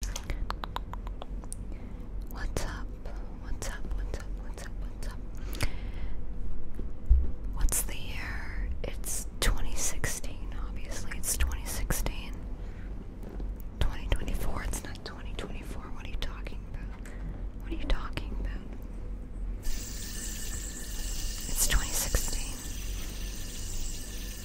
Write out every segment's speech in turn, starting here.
What's up? What's up? What's up? What's up? What's up? What's the year? It's 2016, obviously. It's 2016. 2024. It's not 2024. What are you talking about? What are you talking about? It's 2016. Well,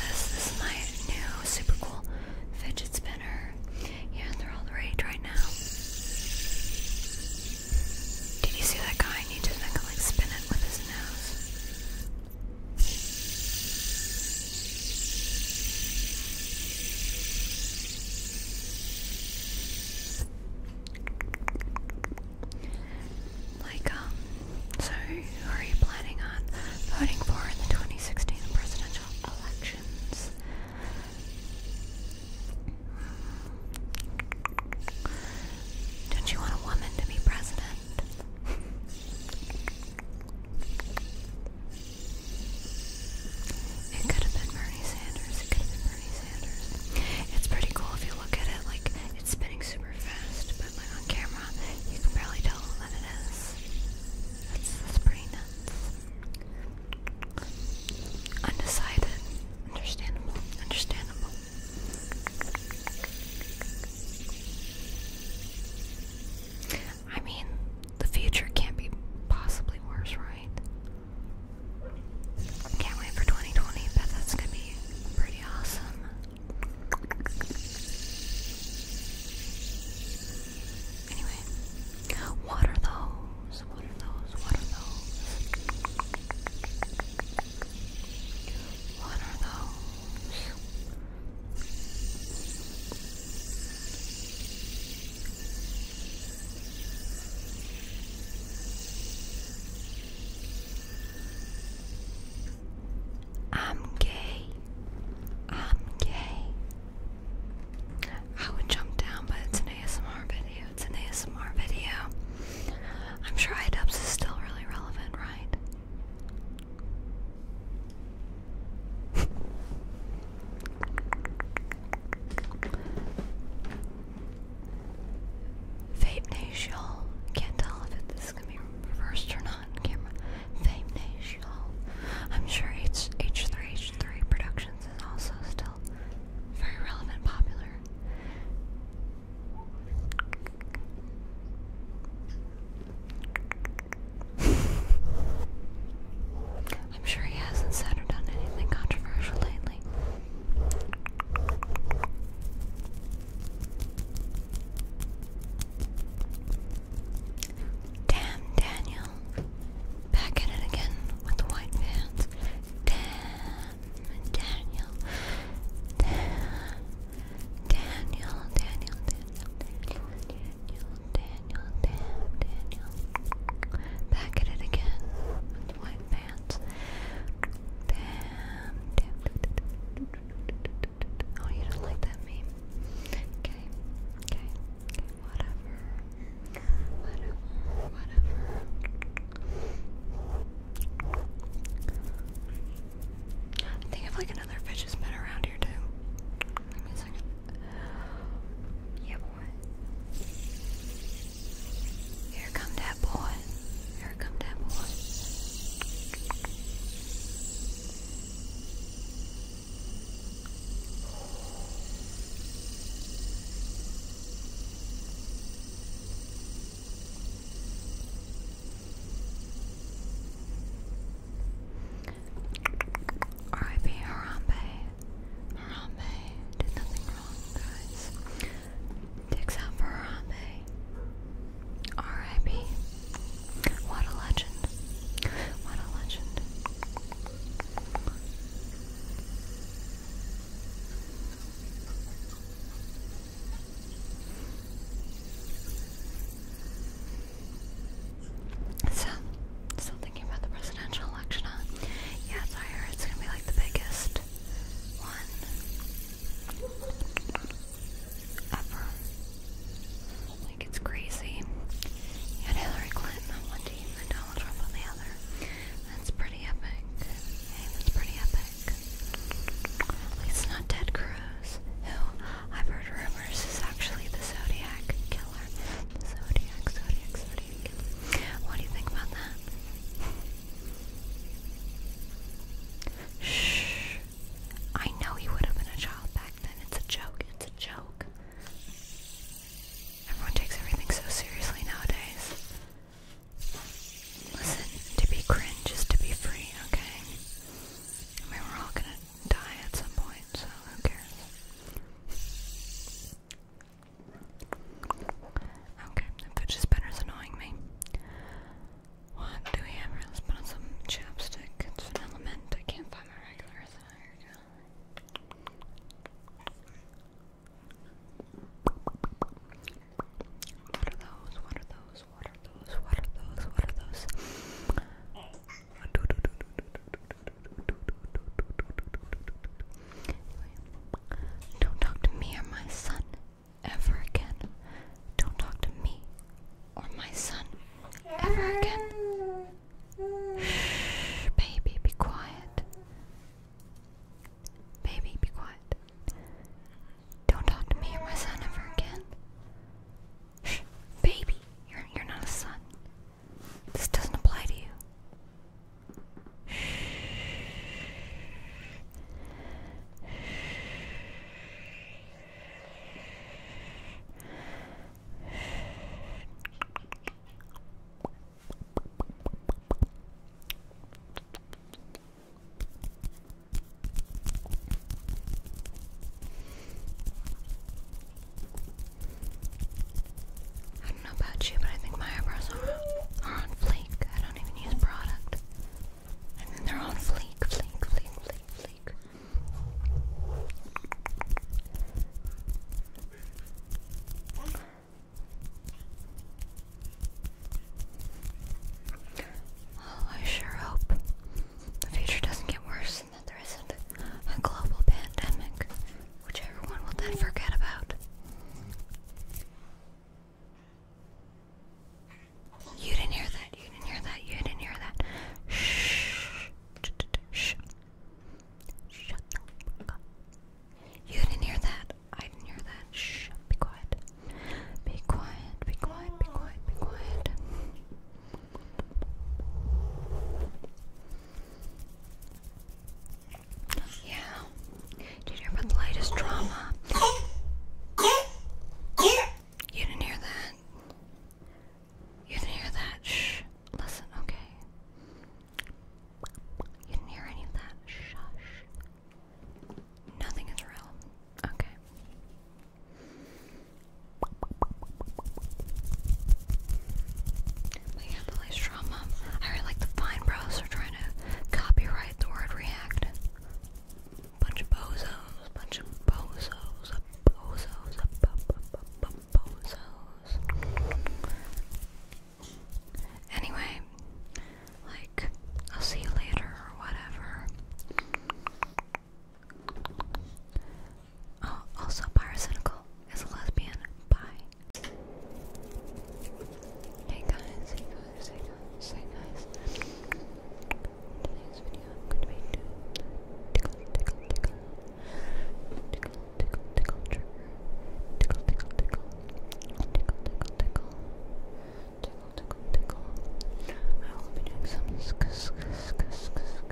this, this is my new super cool fidget spinner. Yeah, they're all the rage right now. Did you see that guy? he just like, like it with his nose. Like, um, so are you planning on voting for in the 2016 presidential elections? do you want a woman to be president? It could have been Bernie Sanders. It could have been Bernie Sanders. It's pretty cool if you look at it. Like it's spinning super fast, but like on camera, you can barely tell that it is. that's pretty nuts. Undecided. Understandable. Understandable. I mean, the future can't be possibly worse, right? Can't wait for 2020, but that's gonna be pretty awesome. Anyway, what are those? What are those? What are those? What are those? I'm gay. I'm gay. I would jump down, but it's an ASMR video. It's an ASMR video. I'm sure IDubs is still really relevant, right? Vape Nation. Can't tell if this is gonna on camera. Vape Nation. I'm sure H H3 H3 Productions is also still very relevant, and popular. I'm sure he hasn't said or done anything controversial lately. Damn, Daniel. Back at it again with the white pants. Damn, Daniel. Damn, Daniel, Daniel, Daniel, Daniel, Daniel, Daniel, Daniel. Back at it again. White pants. Damn, damn. Oh, you don't like that meme. Okay, okay, Whatever. Whatever. Whatever. think I like another fish's been around here too. Yeah, boy. Here come that boy. Here come that boy. R.I.P. Harambe. Harambe did nothing wrong, guys. Dicks out for Harambe. R.I.P. What a legend. What a legend. So, still thinking about the presidential election, huh? Yeah, so I heard it's gonna be like the biggest one ever. Like, it's crazy. You had Hillary Clinton on one team and Donald Trump on the other. That's pretty epic. Hey, that's pretty epic. At least not Ted Cruz who I've heard rumors is actually the Zodiac killer. Zodiac, Zodiac, Zodiac What do you think about that? Shh. I know he would have been a child back then. It's a joke. It's a joke. Everyone takes everything so seriously nowadays. Listen, to be cringe is to be free, okay? I mean, we're all gonna die at some point, so who cares? Okay, if it's just is annoying me. What do we have? Let's put on some chapstick. It's an element. I can't find my regular What are those? What are those? What are those? What are those? What are those? don't talk to me or my son ever again. Don't talk to me or my son ever again. Shh, baby, be quiet. Baby, be quiet. Don't talk to me or my son ever again. Baby, you're, you're not a son. This doesn't apply to you. I don't know about you, but I think my eyebrows are, are on fleek. I don't even use product. And they're on fleek, fleek, fleek, fleek, fleek. Oh, I sure hope the future doesn't get worse that there isn't a global pandemic, which everyone will then forget about. You didn't hear that, you didn't hear that, you didn't hear that. Shh. Shh. Shut the fuck up. You didn't hear that. I didn't hear that. Shh. Be quiet. Be quiet. Be quiet. Be quiet. Be quiet. Yeah. Did you hear about the latest drama? You didn't hear that. You didn't hear that. Shh. Listen, okay. You didn't hear any of that. Shush. Nothing is real. Okay. We have the least I really like the fine bros are trying to copyright the word react. Bunch of bozos, bunch of bozos, a bozos, a bo bo bo bo bozos. Anyway, like, I'll see you later or whatever also Pyrocynical is a lesbian. Bye. Hey guys, hey guys, hey guys, hey guys. In today's tickle, tickle, tickle. Tickle, tickle, tickle Tickle, tickle, tickle. Tickle, tickle, tickle. Tickle, tickle, tickle. I will be doing some sk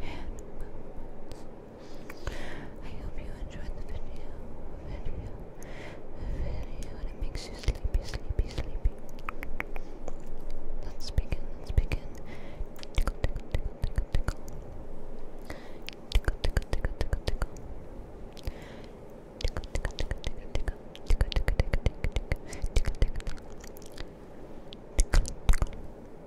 hand I hope you enjoyed the video, video, video, makes you sleepy, sleepy, sleepy. Let's begin, let's begin. tickle. Tickle, tickle, tickle, tickle. Tickle, tickle, tickle, tickle. Tickle, tickle, tickle, tickle. Tickle, tickle, tickle, tickle. Tickle, tickle, tickle, tickle.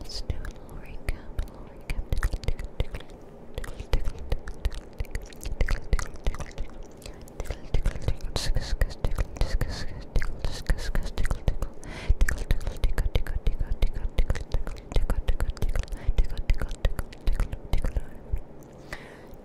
Let's do a little recap,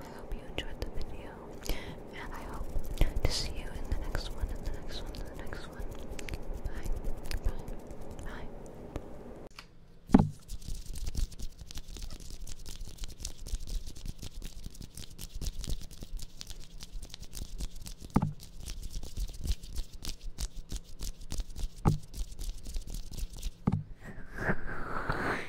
I hope you enjoyed the video, and I hope to see you in the next one, the next one, the next one. Bye, bye, bye.